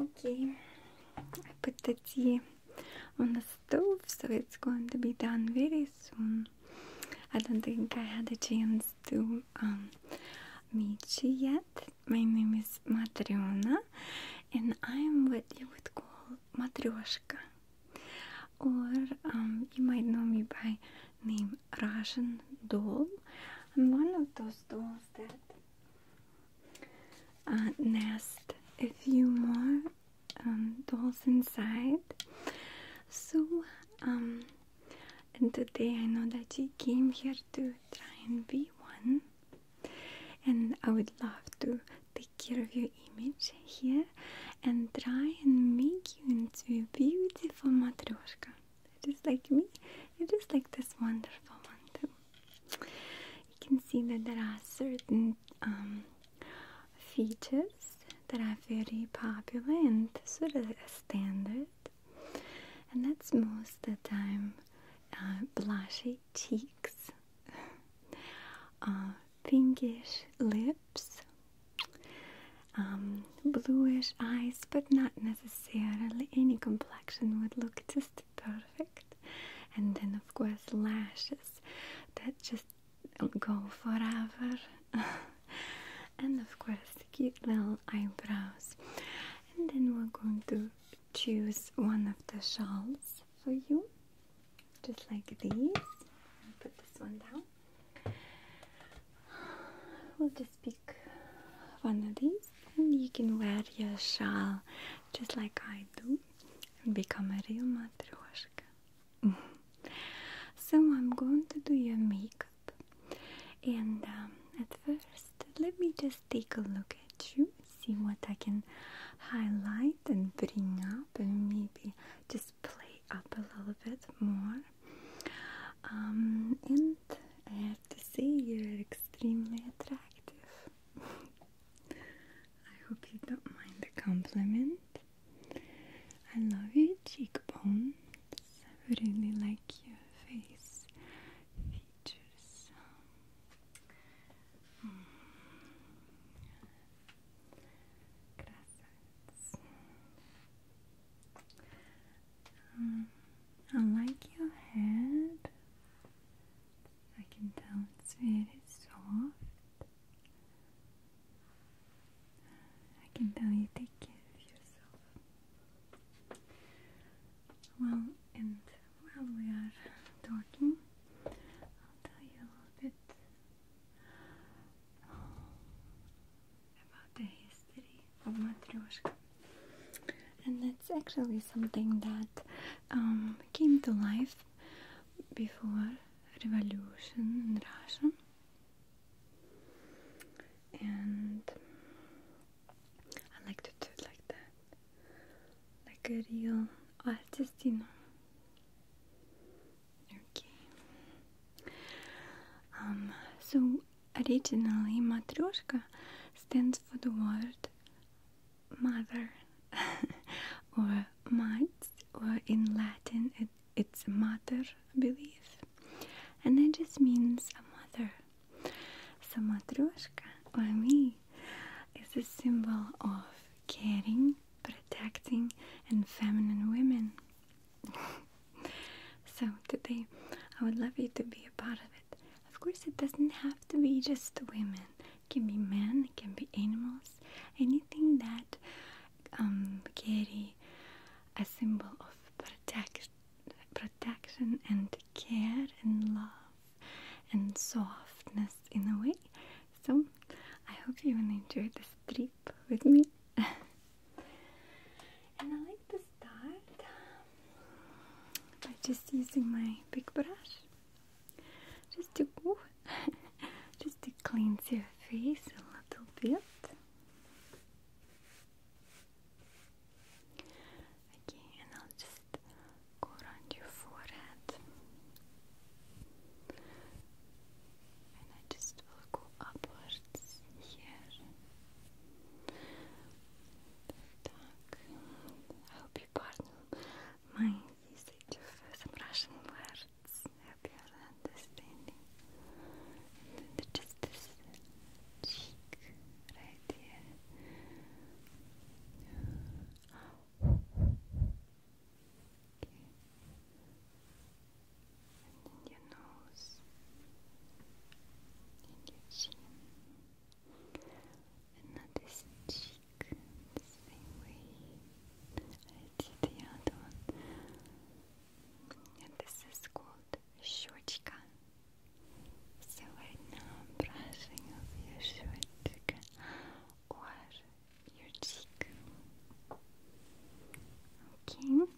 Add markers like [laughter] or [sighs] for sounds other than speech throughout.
Okay, I put the tea on the stove, so it's going to be done very soon. I don't think I had a chance to um, meet you yet. My name is Matriona, and I'm what you would call Matryoshka, or um, you might know me by name Russian doll. I'm one of those dolls that uh, nest a few more um, dolls inside. So, and um, today I know that you came here to try and be one, and I would love to care of your image here and try and make you into a beautiful matryoshka. Just like me, and just like this wonderful one too. You can see that there are certain um, features that are very popular and sort of a standard, and that's most of the time uh, cheeks, pinkish [laughs] uh, lips, um, bluish eyes, but not necessarily any complexion would look just perfect. And then, of course, lashes that just go forever. [laughs] and of course, cute little eyebrows. And then we're going to choose one of the shawls for you, just like these. Put this one down. [sighs] We'll just pick one of these, and you can wear your shawl just like I do and become a real matryoshka. [laughs] so, I'm going to do your makeup, and um, at first, let me just take a look at you, see what I can highlight and bring up and maybe just play up a little bit more. Um, and I have to say, you're extremely attractive. [laughs] I hope you don't mind the compliment. I love your cheekbones. I really like your face features. Um, I like your head. I can tell it's very soft. I can tell you take care of yourself. Well, and while we are talking, I'll tell you a little bit about the history of Matryoshka. And that's actually something that um, came to life before revolution in Russia. And I like to do it like that like a real artistino. Okay. so originally, matryoshka stands for the word mother [laughs] or mats, or in Latin, it's mater, I believe, and that just means a mother. So matryoshka or me is a symbol of caring protecting and feminine women. [laughs] so today I would love you to be a part of it. Of course it doesn't have to be just women. It can be men, it can be animals, anything that um, carry a symbol of protect, protection and care and love and softness in a way. So, I hope you will enjoy this trip with me. [laughs] and I like to start by just using my big brush just to go, [laughs] just to cleanse your face a little bit. Okay, and I'll just Go around your forehead, and I just go upwards here. Так, I hope you pardon my usage of some Russian words. I hope you are understanding. And then just this cheek right here and in your nose, and your chin, and not this cheek same way I did the other one. And this is called щечка. So I'm brushing off your щечка your cheek. Okay.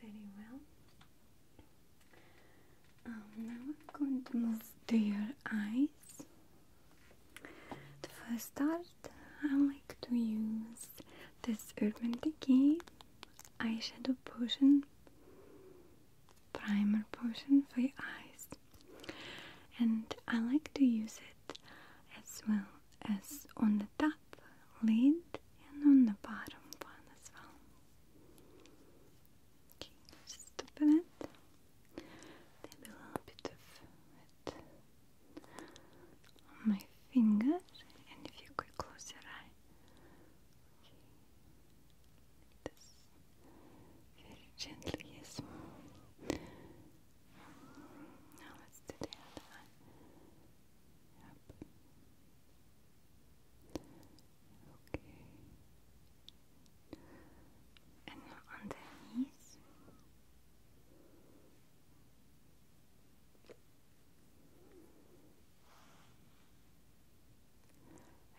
Very well. Um, now I'm going to move to your eyes. To start, I like to use this Urban Decay eyeshadow potion, primer potion for your eyes, and I like to use it as well as on the top lid and on the bottom one as well. Okay, just open it. a little bit of it my fingers, and if you could close your eyes, very gently, yes. Now let's do the other one. Okay. And on the knees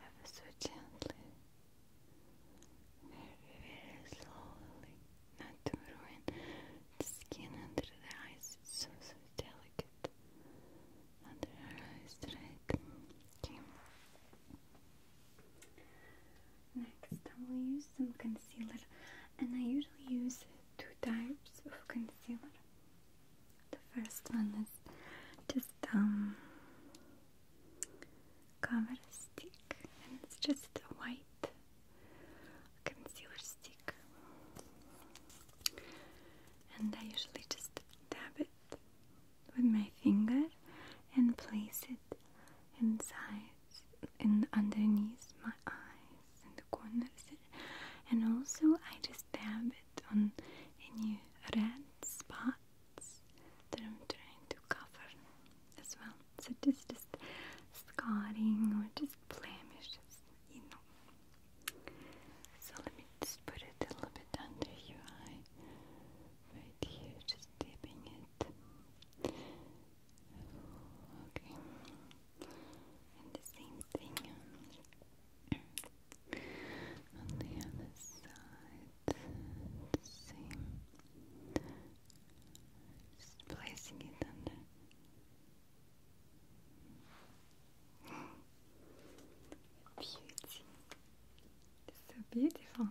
ever so gently, very, slowly, not to ruin the skin under the eyes, it's so, so delicate under her eyes, right? Next, I will use some concealer, and I usually use two types of concealer. The first one is just um cover stick and it's just a white concealer stick and I usually just dab it with my finger and place it inside and underneath my eyes and the corners and also I just dab it on any red spots that I'm trying to cover as well. So just just scarring or just blemishes, you know. So let me just put it a little bit under your eye. Right here, just dipping it. Okay. And the same thing on the other side. Same. Just placing it under. Beauty. so beautiful.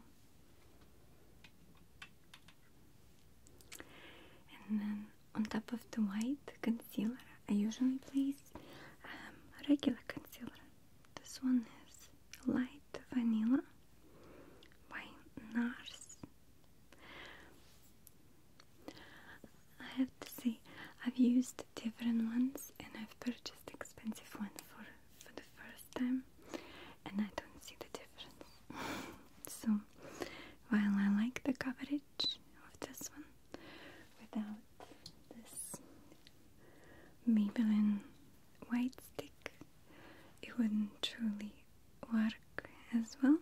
And then on top of the white concealer, I usually place um, regular concealer. This one is light vanilla by NARS. I have to say, I've used different ones and I've purchased expensive ones for for the first time, and I don't see the difference. [laughs] so while I like the coverage of this one without this Maybelline white stick it wouldn't truly work as well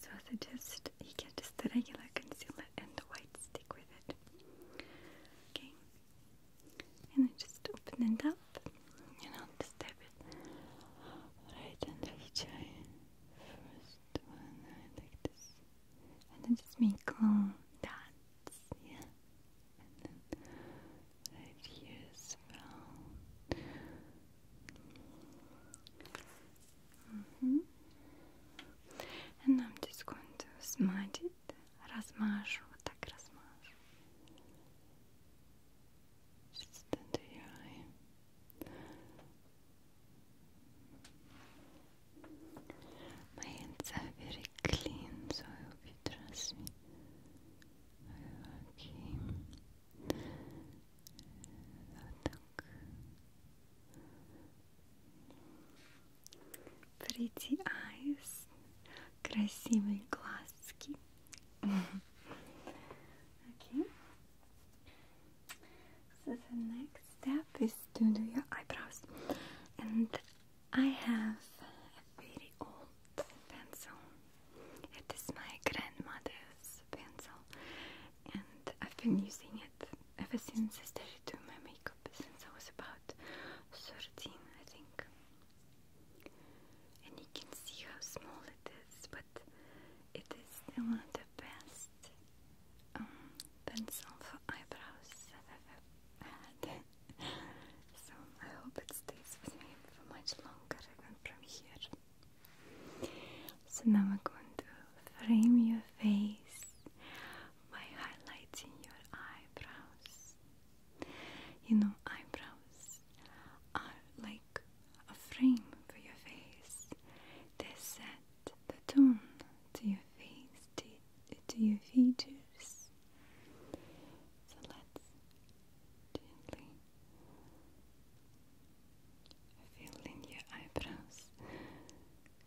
so I suggest you get just the regular concealer and the white stick with it okay and I just open it up you know, this type it right under each eye. First one, like this. And then just make long dots, yeah. And then right here as well. Mm-hmm. And I'm just going to smudge it, размажу, так размажу. Just under your eye. My hands are very clean, so I hope you trust me. Okay. Так. Pretty eyes. Красивые глазки. [laughs] okay. So the next step is to do your eyebrows. And I have a very old pencil. It is my grandmother's pencil. And I've been using it ever since I started doing my makeup, since I was about 13, I think and you can see how small it is, but it is still the best um, for eyebrows I've had. [laughs] so I hope it stays with me for much longer, even from here. So now we're going to frame your face by highlighting your eyebrows. You know, eyebrows are like a frame for your face. They set the tone to your face, to, your features. So let's gently fill in your eyebrows,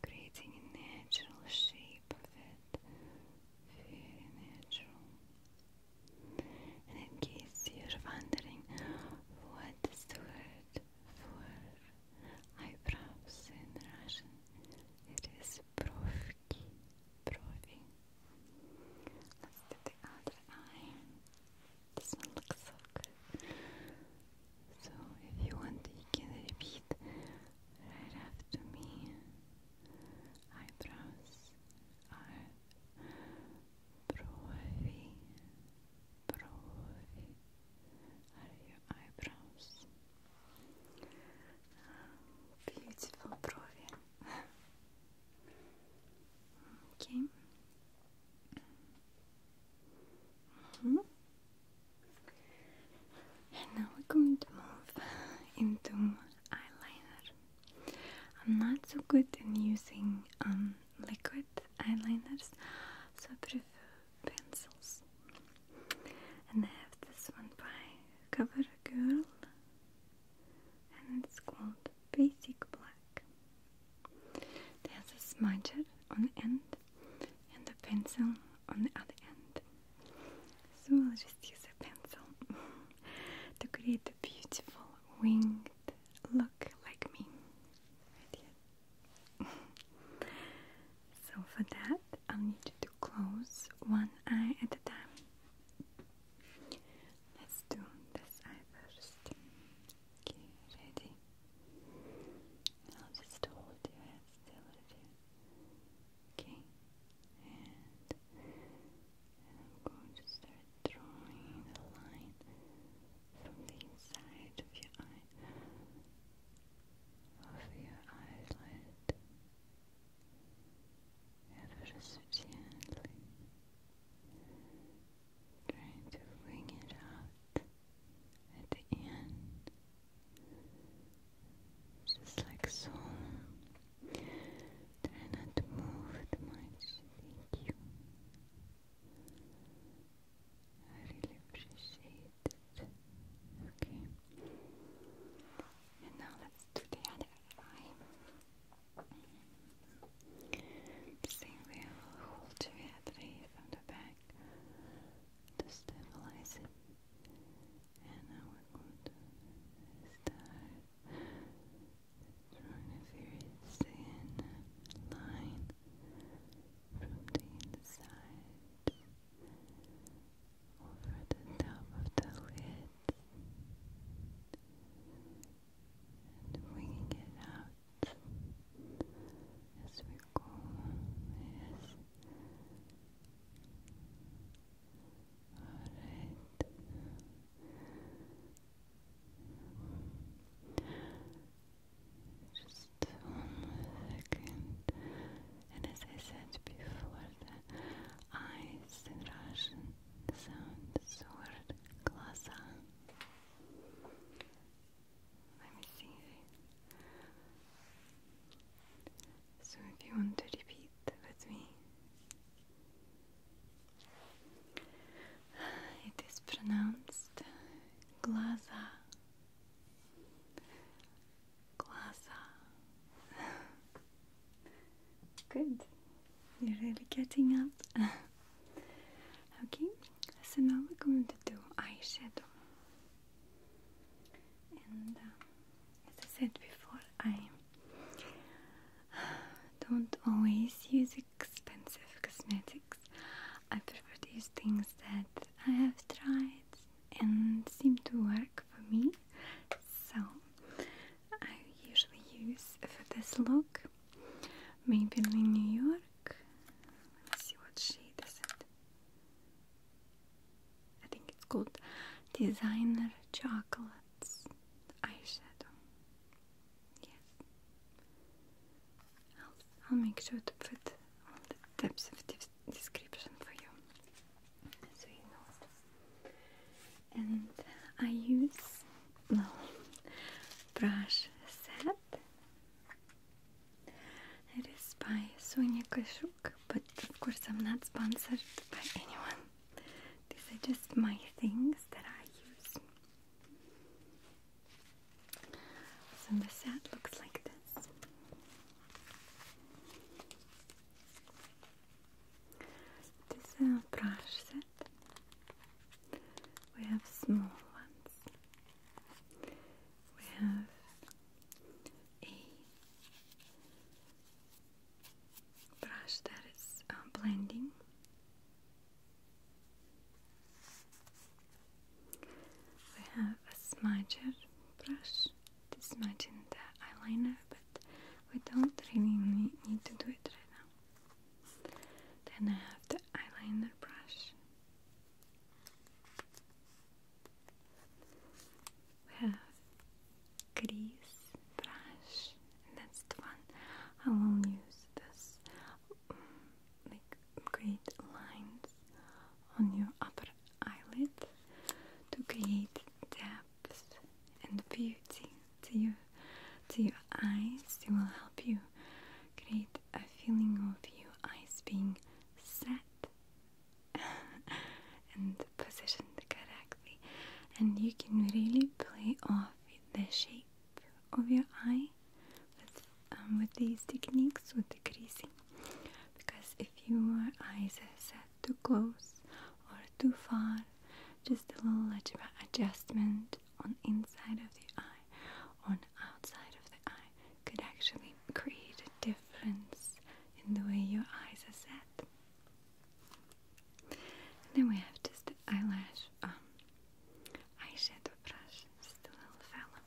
creating a natural shape of it. natural in case you're wondering what is the word for eyebrows in Russian, it is brovki, brovi. Let's do the other eye. This one looks so So if you want, you can repeat right after me. Eyebrows are brovy, Брови your eyebrows. Beautiful брови. okay. -hmm. And now we're going to move into eyeliner. I'm not so good in using um liquid eyeliners, so I prefer pencils. And I have this one by CoverGirl, and it's called Basic Black. There's a smudger on the end and a pencil on the other end. So I'll just use a pencil [laughs] to create a beautiful winged look like me. [laughs] so for that, I'll need you to close one eye at a time. Let's do this eye first. ready? I'll just hold your head still right here. Okay, and I'm going to start drawing the line from the inside of your eye over your eyelid ever so gently trying to wing it out at the end just like so Try not to move too much, thank you. I really appreciate it. Okay. And now let's do the other eye. Same way hold your head right from the back to stabilize it. And now we're going to start run a very thin line from the inside over the top of the lid and winging it out as we go. Yes. Alright. Just one second. And as I said before, eyes in sound the word Let me see. So if you want to repeat with me. It is pronounced glaza. Glaza. [laughs] Good. You're really getting up. [laughs] okay, so now we're going to do eyeshadow. And uh, as I said before, I don't always use a expensive cosmetics. I prefer these things that I have tried and seem to work for me. So I usually use for this look Maybelline New York. see what shade is it. I think it's called Designer Chocolates eyeshadow. Yes. I'll, make sure to put all the depth of this description for you so you know And I use no brush set. It is by Sonia Kashuk, but of course I'm not sponsored by anyone. These are just my things that I use. So the set looks like this. This is a brush set. We have small ones. We have a brush that is uh, blending. We have a smudger brush to smudge in the eyeliner, but we don't really need to do it right now. Then I have the eyeliner brush. We have grease brush, and that's the one I will use this like create lines on your upper eyelid to create depth and beauty to your to your eyes. It will help you create a feeling of your eyes being set [laughs] and positioned correctly, and you can really play off with the shape of your eye um, with, these techniques, with the creasing. Because if your eyes are set too close or too far, just a little adjustment on inside of the eye, on outside of the eye, could actually create a difference in the way your eyes are set. And then we have just eyelash um, eyeshadow brush. Just a little fella.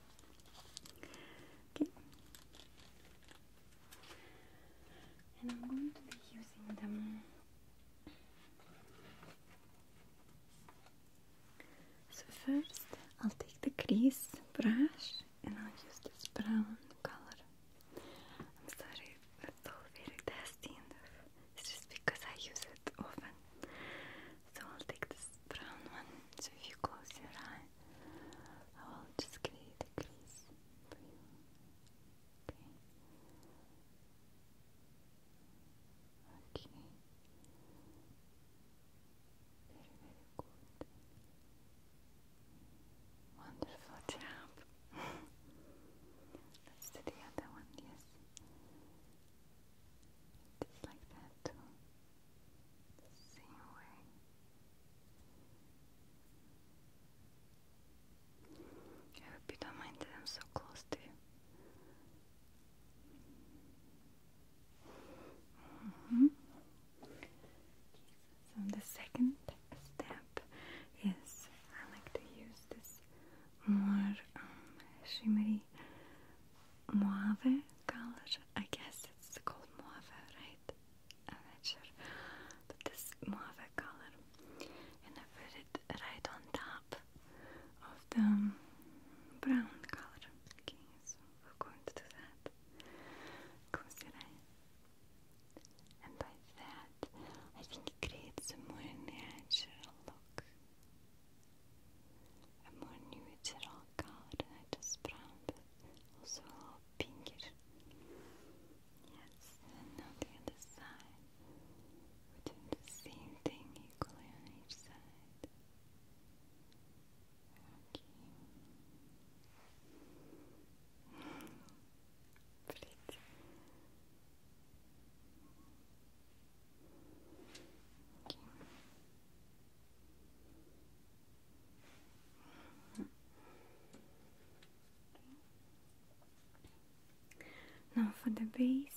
And I'm going to be using them. So first, I'll take the crease brush and I'll use this brown color. I'm sorry, it's all very dusty, and it's just because I use it often. So I'll take this brown one. So if you close your eye, I will just create a crease Okay. Okay. Very, very good. Wonderful job. [laughs] Let's do the other one, yes. Just like that same way. I hope you don't mind that I'm so close to you. Mm-hmm. So the second step is I like to use this more um, shimmery Mauve color. I guess it's called mauve, right? I'm not sure. But this mauve color. And I put it right on top of the um, brown color. Okay, going to do that. Close And by that, I think it creates a more natural look. Amonioğutur alkar at his brand, also all pinkish. Yes, now the other side. We're the same thing equally on each side. Okay. Pretty. Okay. Now for the base.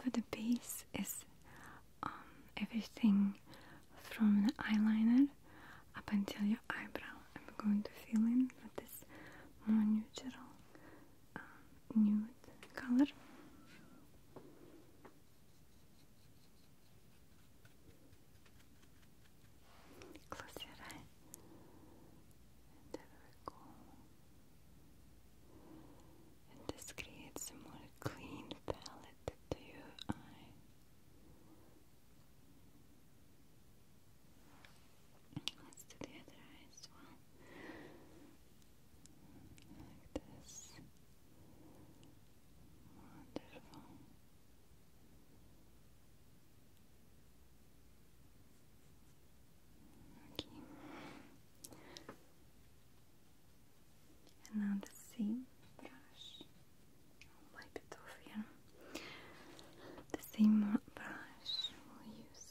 For the base is um, everything from the eyeliner up until your eyebrow. I'm going to fill in with this more neutral um, nude color. Close And this creates a more clean palette to your eye. Let's do the other eye as well. Like this. Wonderful. Okay. And now the same brush. wipe it off here. The same brush we'll use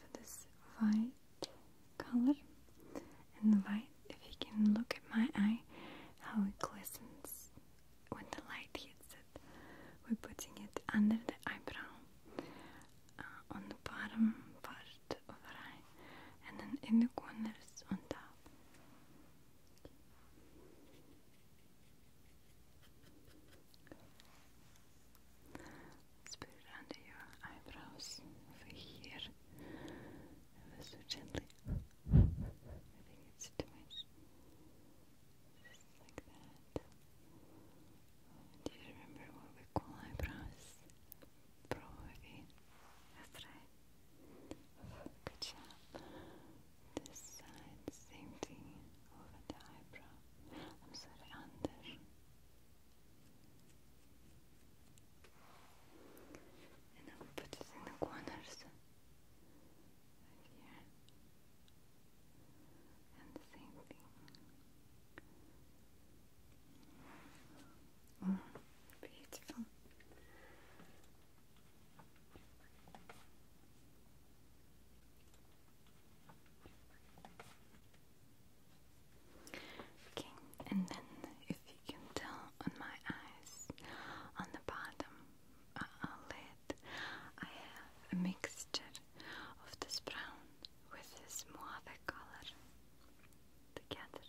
for this white color and white. If you can look at my eye, how it glistens when the light hits it. We're putting it under the eyebrow, uh, on the bottom part of the eye, and then in the corners on top let under your eyebrows over here. Ever gently. I think it's too much. Just like that. Do you remember what we call eyebrows? Probably. That's right. Good job. This side, same thing over the eyebrow. I'm sorry, under. And I put it in the corners here. And the same thing. Mm, beautiful. Okay, and then if you can tell on my eyes, on the bottom uh, uh, lid, I have a mixture of this brown with this mauve color together.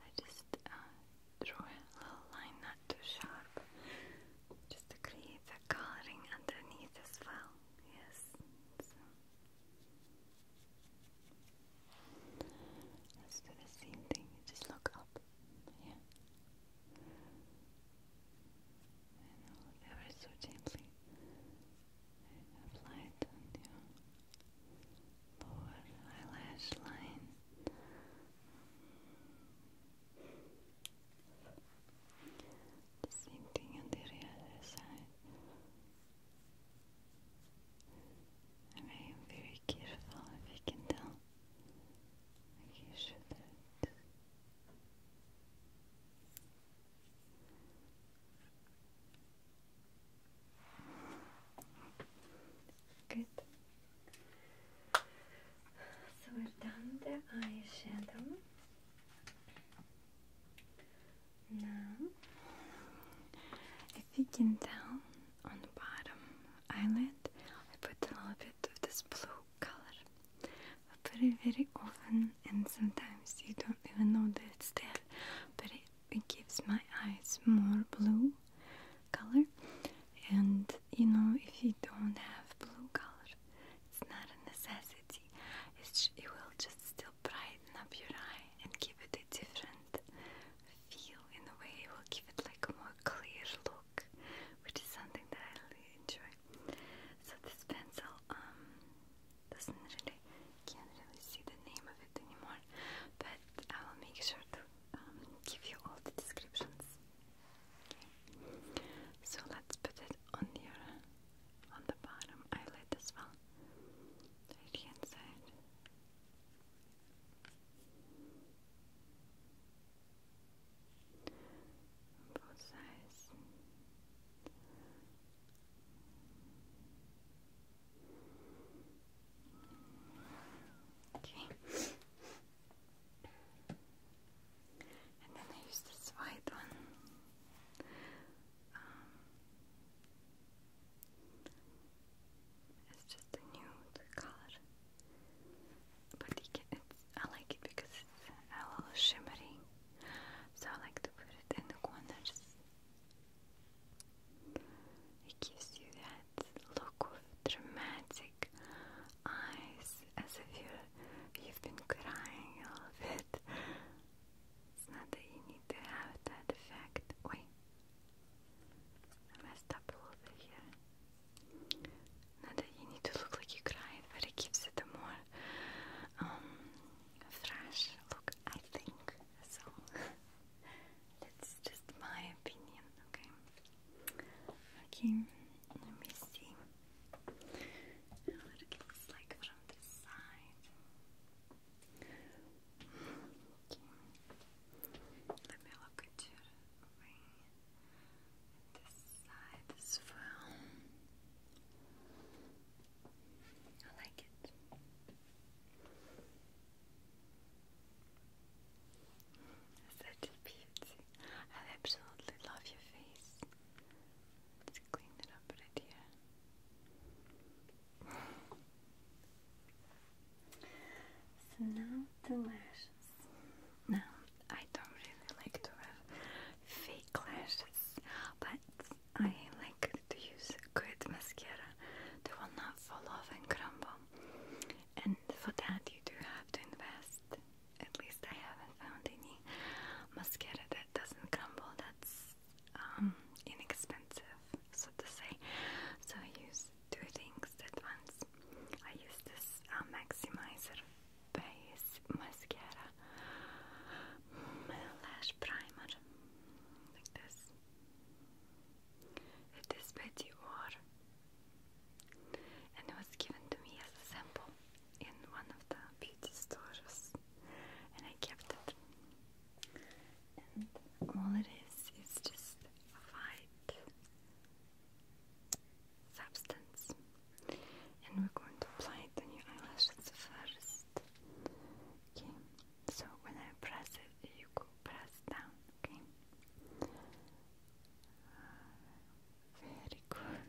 I just uh, a little line, not too sharp, just to create the coloring underneath as well. Yes. Let's do the same thing. Just look up. Yeah. And all ever so gently apply it on your lower eyelash line. The same thing on the other side. I am very careful if you can tell. Good. So we've done the eyeshadow. Now, if you can tell, on the bottom eyelid, I put a little bit of this blue color. I put it very often, and sometimes you don't even know that it's there, but it, it gives my eyes more blue color. And you know, if you don't have blue color, it's not a necessity. It's, it will just still brighten up your eye and give it a different feel in a way. It will give it like a more clear look, which is something that I really enjoy. So this pencil um doesn't really can't really see the name of it anymore, but I will make sure to um, give you all the descriptions. Okay. So let's put it on your on the bottom eyelid as well. Right hand Both sides. Okay. And then I use this white one um, it's just a nude color, but it's, I like it because it's a little shimmery. So I like to put it in the corners. It gives you that look of dramatic eyes, as if you you've been crying a little bit. It's not that you need to have that effect. Wait, I messed up a here. Not that you need to look like you cried, but it gives it more um, fresh look, I think. So [laughs] that's just my opinion, okay? Okay, let me see how it looks like from this side. Let me look at your this side as well. I like it. Such a beauty. I absolutely love your face. Let's clean it up right here. So now the lashes. Now I don't really like to have fake lashes, but I like to use good mascara. They will not fall off and crumble. And for that you do have to invest. At least I haven't found any mascara that doesn't crumble. That's um, inexpensive, so to say. So I use two things at once. I use this uh, Maximizer Base Mascara mm, Lash Primer, like this. It is Betty Dior, and it was given to me as a sample in one of the beauty stores, and I kept it. And all it is is just a white substance. And we're going to apply it on your eyelashes first. Okay, so when I press it, you go press down, okay? Ah, very good.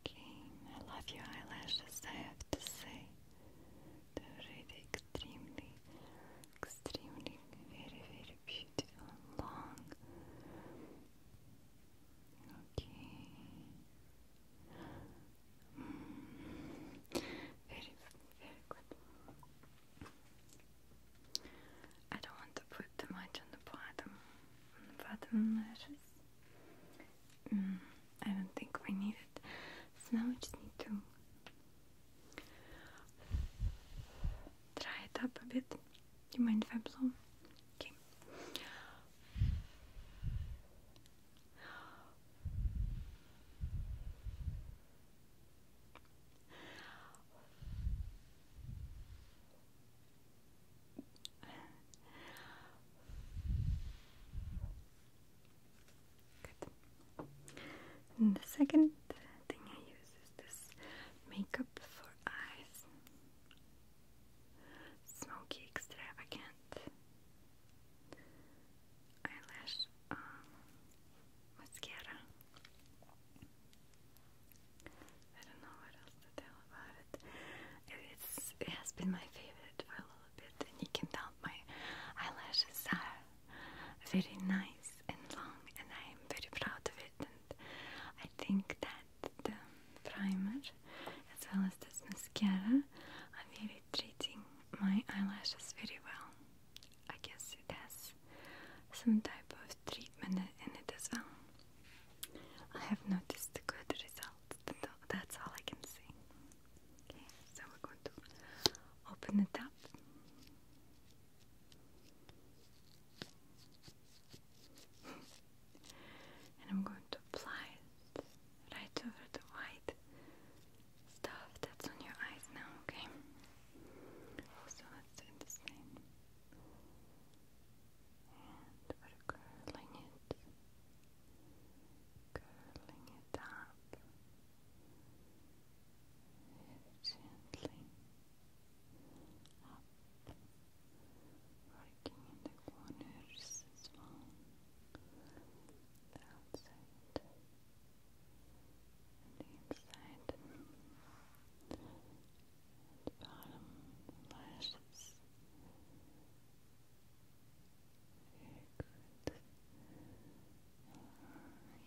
Okay, I love your eyelashes, I have to say. They're really extremely, extremely, very, very beautiful long. Okay. Mm. Very, very good. I don't want to put too much on the bottom, on the bottom lashes. Mm, I don't think we need it. So now we just need to try it up a bit. Do you mind if I blow? Okay. And the second thing I use is this makeup for eyes. Smoky Extravagant Eyelash um, Mascara. I don't know what else to tell about it. it has been my favorite for a little bit, and you can tell my eyelashes are very nice and long, and I am very proud of it. And I think that the primer, as well as this mascara, are really treating my eyelashes very well. I guess it has some type of treatment in it as well. I have noticed good results. That's all I can say so we're going to open it up. [laughs] and I'm going to apply it right over the white stuff that's on your eyes now, okay? So let's do the same. And we're curling it curling it up gently up, working in the corners as well. the inside and bottom lashes.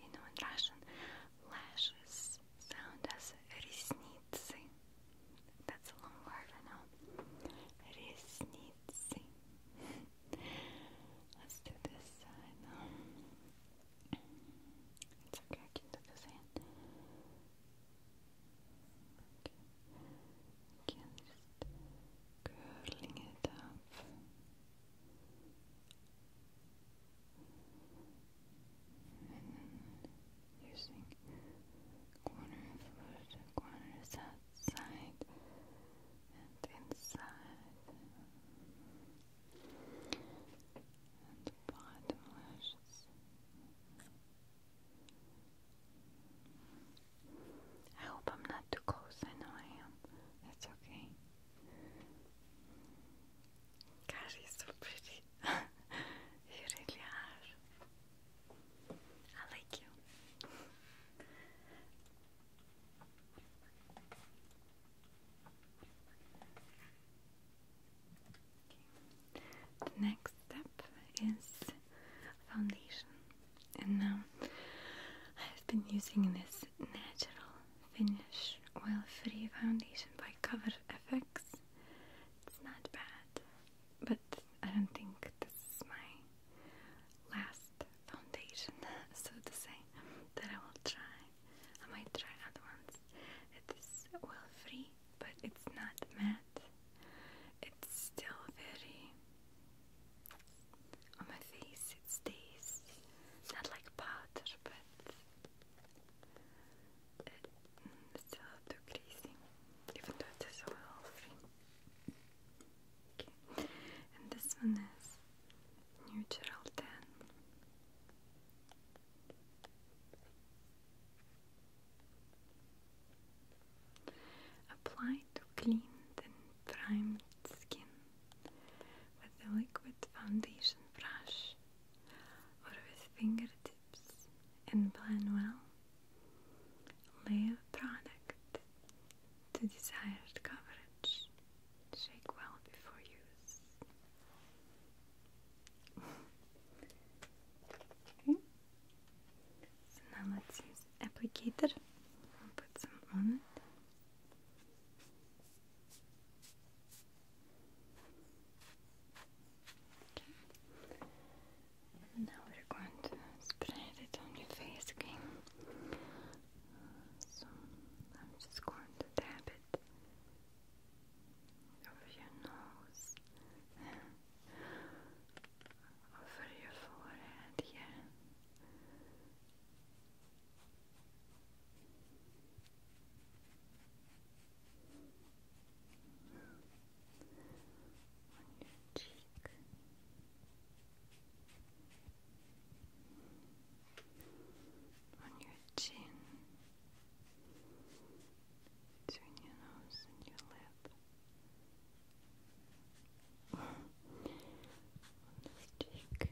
You know, in Russian, lashes sound as resniцы. That's a long word, I know. Resniцы. [laughs] Let's do this side. Um, it's okay, I can do this hand. Just curling it up. And then using corner corners outside and inside, and bottom lashes. I hope I'm not too close. I know I am. That's okay. God, he's so pretty. you [laughs] really are. I like you. The next step is foundation and now um, I've been using this natural finish oil-free foundation by Cover FX. It's not bad, but I don't think this is my last foundation, [laughs] so to say, that I will try. I might try other ones. It is oil-free, but it's not matte. It's still very on my face it stays, not like powder, but mm, it's still too greasy, even though it is oil free. and this one is neutral tan. Apply to clean the primed skin with a liquid foundation brush or with fingertips and blend well. Layer product to desired coverage. Shake well before use. okay. So now let's use applicator. put some on it now we're going to spread it on your face again. So I'm just going to dab it over your nose, [laughs] over your forehead here on your cheek on your chin between your nose and your lip on this Okay.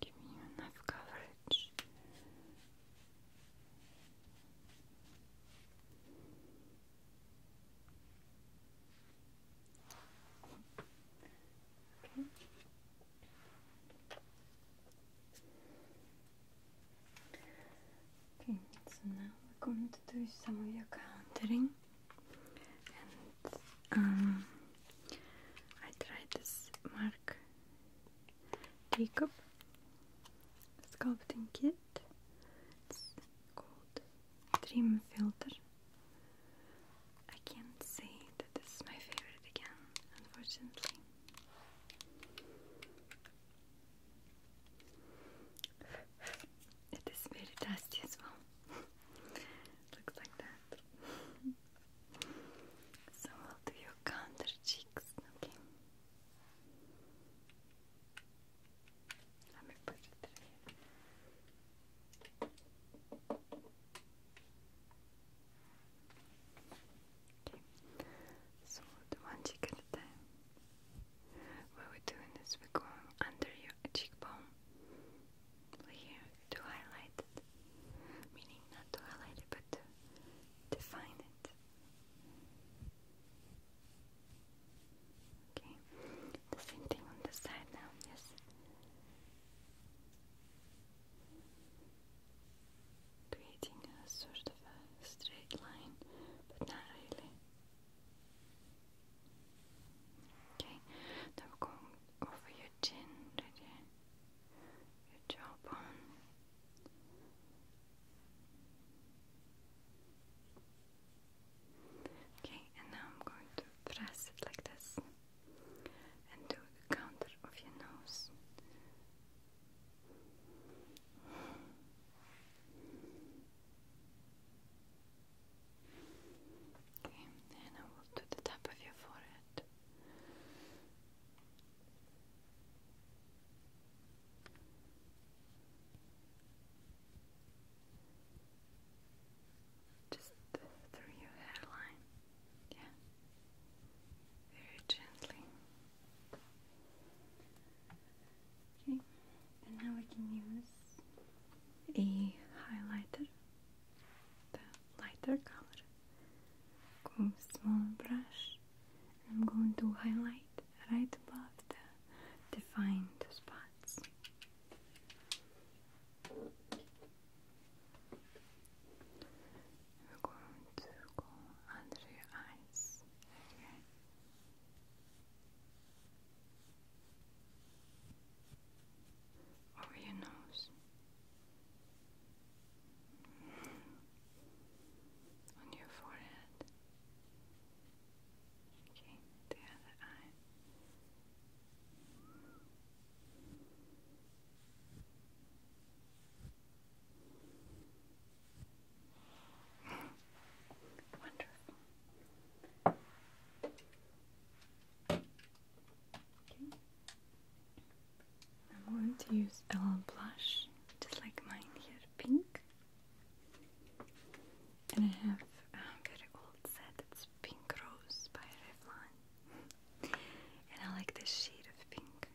Give me enough coverage. Okay. Okay, so now we're going to do some of your countering. And um, I tried this Mark Jacob sculpting kit. It's called Dream Filter. I can't say that this is my favorite again, unfortunately. It is very dusty as well. [laughs] Looks like that. so I'll do your counter cheeks, okay? Okay. So the one cheek at a time. What we're doing is we're going under your cheekbone here to highlight it. Meaning not to highlight it but to define it. Okay. The same thing on the side now, yes creating a sort of a straight line, but not really. Okay, now we're going over your chin right your jawbone. Okay, and now I'm going to press it like this and do the counter of your nose. Okay, and I will do the top of your forehead just through your hairline. Yeah. Very gently. Okay, and now we can use a highlighter, the lighter color. with small brush. I'm going to highlight right above the defined spots. We're going to go under your eyes, okay? Over your nose, on your forehead, okay, the other eye. I'm going to use a little blush, just like mine here, pink. And I have uh, a very old set, it's Pink Rose by Revlon. And I like this shade of pink.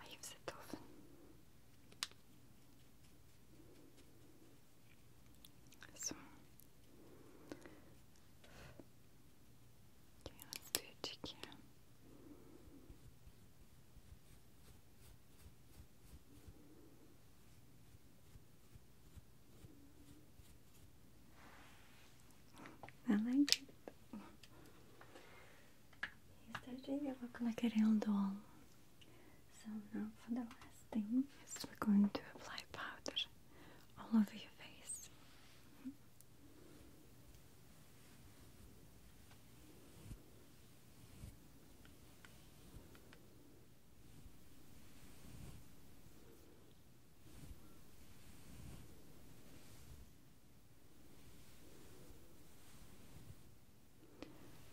I use it often. So okay, let's do a cheek I like it. He's starting to look like a real doll. So now for the last thing we're going to apply powder all over your face.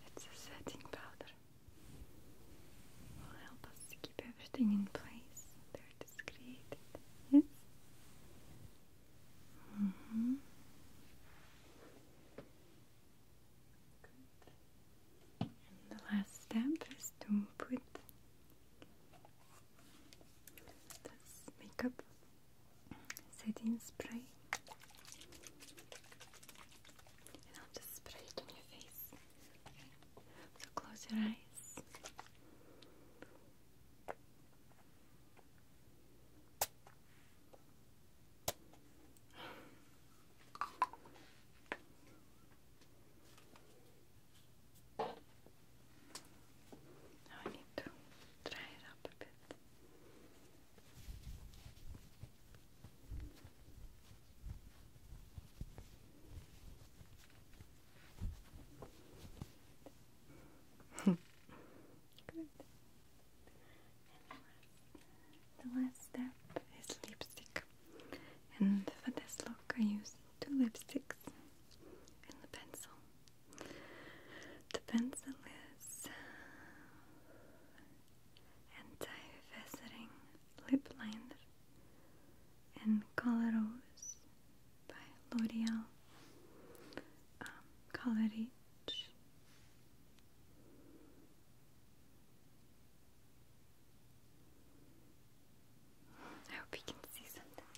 It's a setting powder. Will help us to keep everything in place. There it is created. Yes. Mm-hmm. the last step is to put makeup setting spray. And I'll just spray it on your face. So close your eyes. I need to dry it up a bit. [laughs] the last step is lipstick. And for this look I used the lipsticks, and the pencil. The pencil is uh, anti-faceting lip liner and Color Rose by L'Oreal um, Color Rich. I hope you can see something.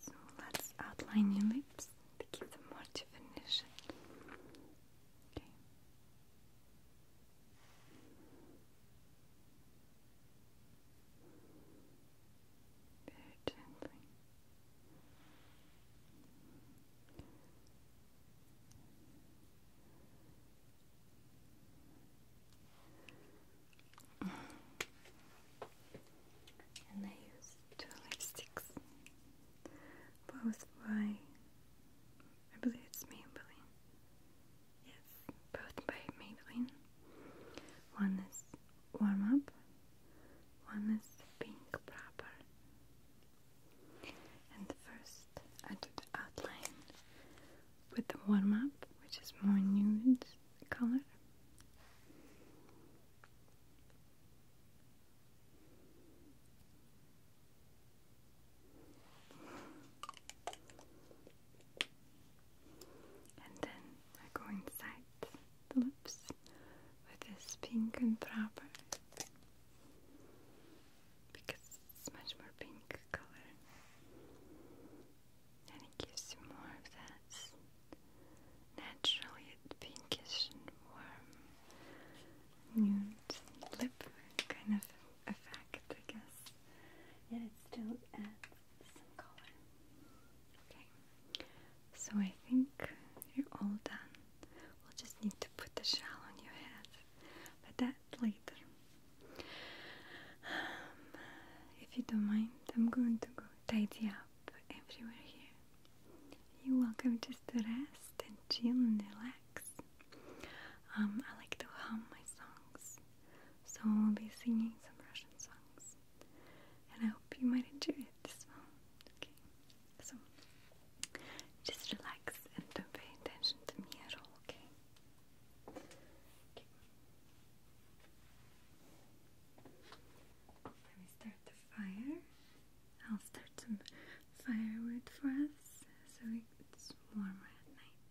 So let's outline your lips to give them more definition. Very gently. And I used two lipsticks, both by, I believe it's Maybelline. Yes, both by Maybelline. One is warm up, one is pink proper. And first I do the outline with the warm up, which is more nude color. And then I go inside the lips with this pink and proper because it's much more pink color and it gives you more of that naturally pinkish and warm nude lip kind of effect, I guess. Yet it still adds some color. Okay, so I think you're all done. We'll just need to put the shawl on your head, but that later. Um, if you don't mind, I'm going to go tidy up everywhere here. You're welcome just to rest and chill and relax. Um, I like to hum my songs, so I'll be singing some Russian songs, and I hope you might enjoy it as well. Okay, so just relax and don't pay attention to me at all. okay. Let me start the fire. I'll start some firewood for us so it's warmer at night.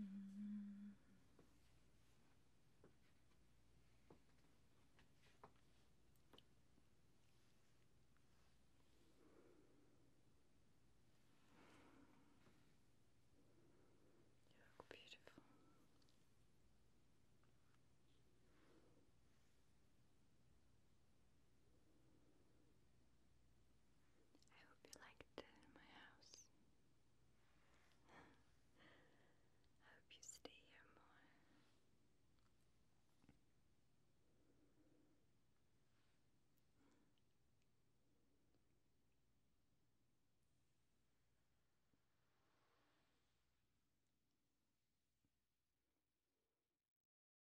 Mm. You look beautiful. I hope you liked uh, my house. I [laughs] hope you stay here more.